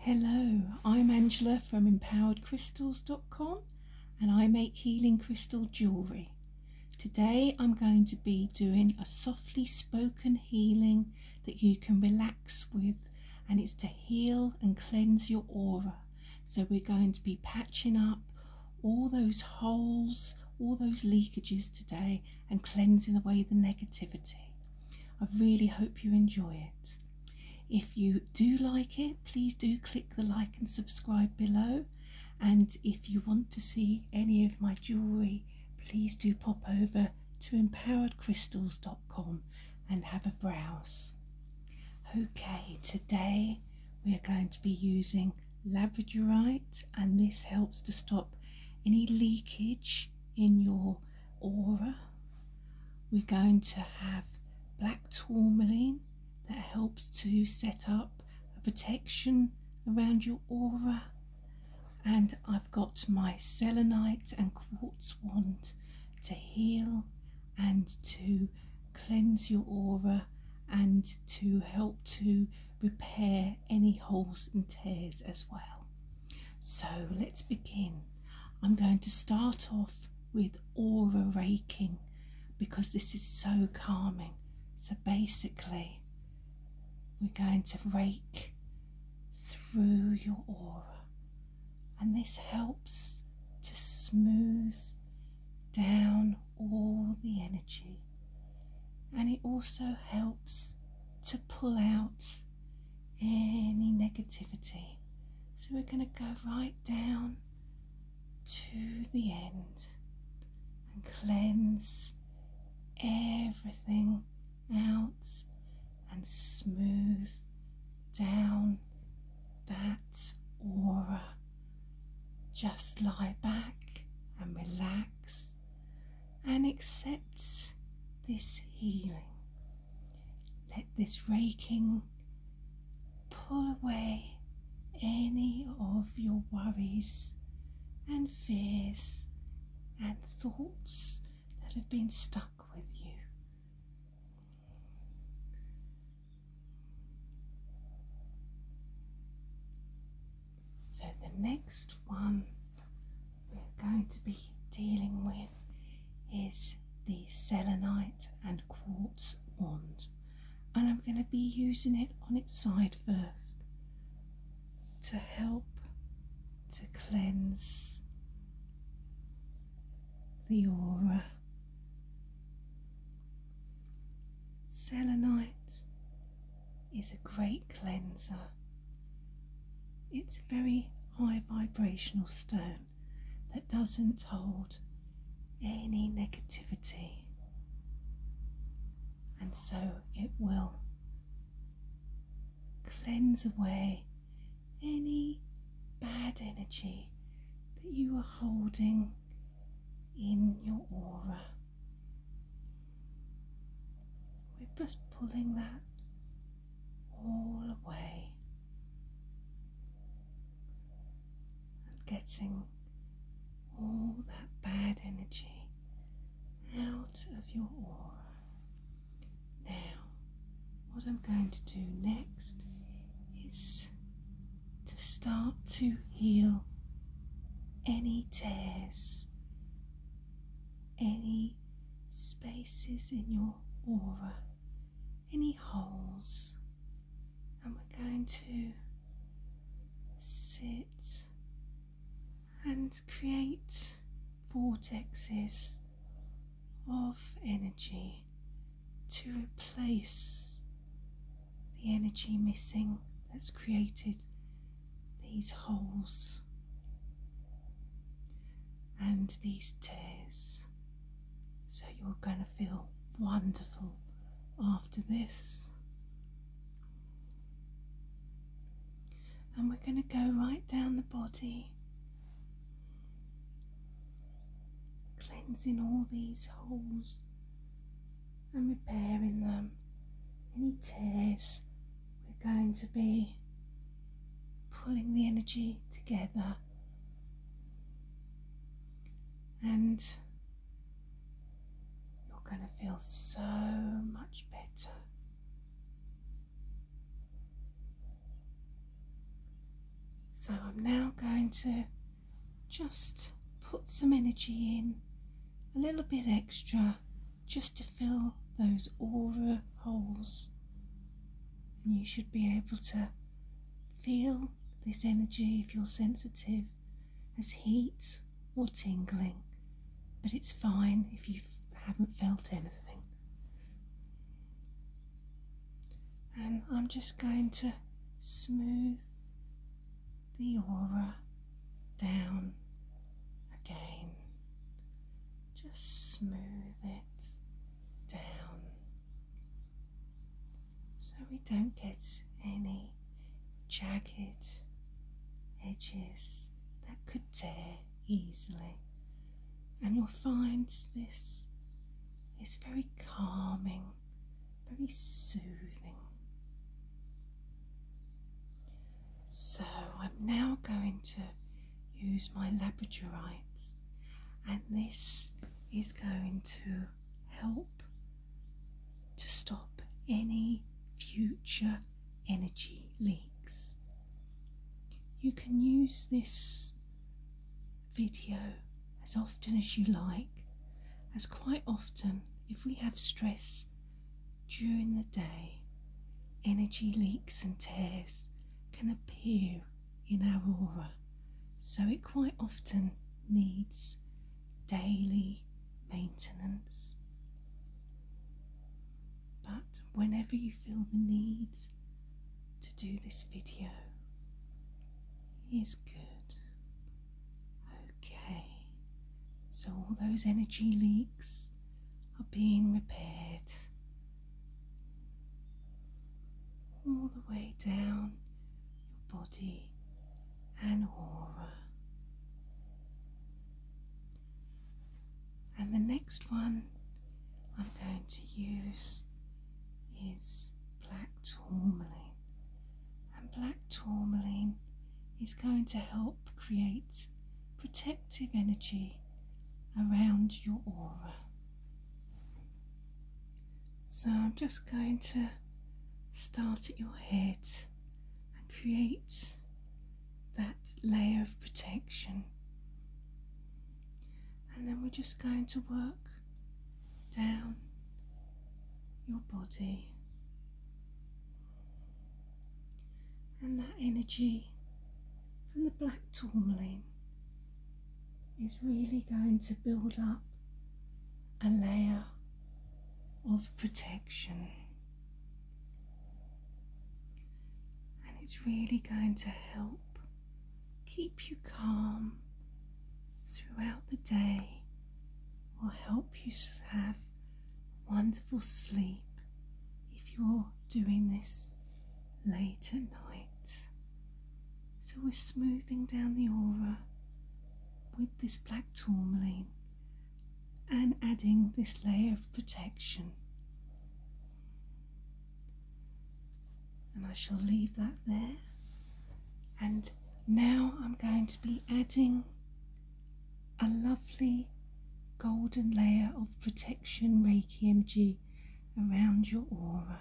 Hello, I'm Angela from empoweredcrystals.com and I make healing crystal jewellery. Today I'm going to be doing a softly spoken healing that you can relax with and it's to heal and cleanse your aura. So we're going to be patching up all those holes, all those leakages today and cleansing away the negativity. I really hope you enjoy it. If you do like it, please do click the like and subscribe below. And if you want to see any of my jewellery, please do pop over to empoweredcrystals.com and have a browse. Okay, today we are going to be using labradorite and this helps to stop any leakage in your aura. We're going to have black tourmaline that helps to set up a protection around your aura. And I've got my selenite and quartz wand to heal and to cleanse your aura and to help to repair any holes and tears as well. So let's begin. I'm going to start off with aura raking because this is so calming. So basically, we're going to rake through your aura, and this helps to smooth down all the energy, and it also helps to pull out any negativity. So we're going to go right down to the end and cleanse everything out and smooth down that aura. Just lie back and relax and accepts this healing. Let this raking pull away any of your worries and fears and thoughts that have been stuck with you. So the next one we are going to be dealing with is the selenite and quartz wand and I'm going to be using it on its side first to help to cleanse the aura. Selenite is a great cleanser it's a very high vibrational stone that doesn't hold any negativity, and so it will cleanse away any bad energy that you are holding in your aura. We're just pulling that all away and getting all that bad energy out of your aura. Now, what I'm going to do next is to start to heal any tears any spaces in your aura, any holes, and we're going to sit and create vortexes of energy to replace the energy missing that's created these holes and these tears. So you're going to feel wonderful after this. And we're going to go right down the body, cleansing all these holes and repairing them. Any tears we're going to be pulling the energy together and you're going to feel so much better. So I'm now going to just put some energy in, a little bit extra just to fill those aura holes. And you should be able to feel this energy if you're sensitive as heat or tingling, but it's fine if you haven't felt anything. And I'm just going to smooth the aura down again just smooth it down so we don't get any jagged edges that could tear easily. And you'll find this is very calming, very soothing. So I'm now going to use my labradorites and this is going to help to stop any future energy leaks. You can use this video as often as you like as quite often if we have stress during the day, energy leaks and tears can appear in our aura, so it quite often needs daily maintenance. But whenever you feel the need to do this video, is good. Okay, so all those energy leaks are being repaired all the way down your body and aura. And the next one I'm going to use is black tourmaline. And black tourmaline is going to help create protective energy around your aura. So I'm just going to start at your head and create that layer of protection. And then we're just going to work down your body and that energy from the black tourmaline is really going to build up a layer of protection. And it's really going to help keep you calm throughout the day or help you have wonderful sleep if you're doing this late at night. So we're smoothing down the aura with this black tourmaline and adding this layer of protection. And I shall leave that there. And now I'm going to be adding a lovely golden layer of protection Reiki energy around your aura.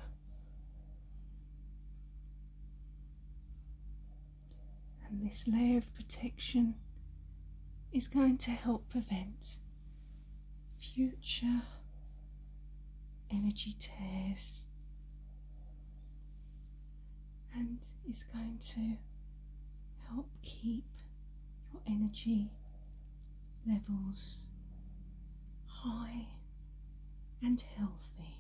And this layer of protection is going to help prevent future energy tears and is going to help keep your energy levels high and healthy.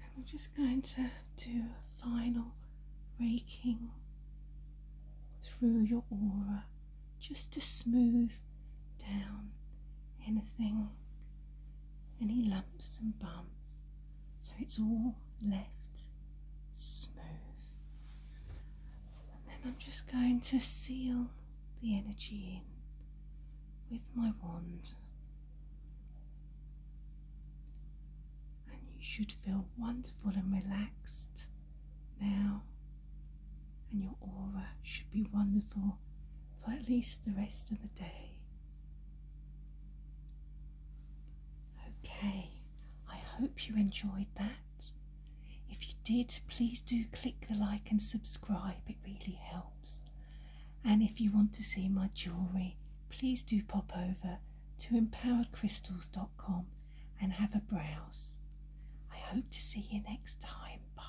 And we're just going to do a final raking through your aura just to smooth down anything any lumps and bumps so it's all left smooth. And then I'm just going to seal the energy in with my wand. And you should feel wonderful and relaxed now. And your aura should be wonderful for at least the rest of the day. Okay, I hope you enjoyed that. If you did, please do click the like and subscribe, it really helps. And if you want to see my jewellery, please do pop over to empoweredcrystals.com and have a browse. I hope to see you next time. Bye.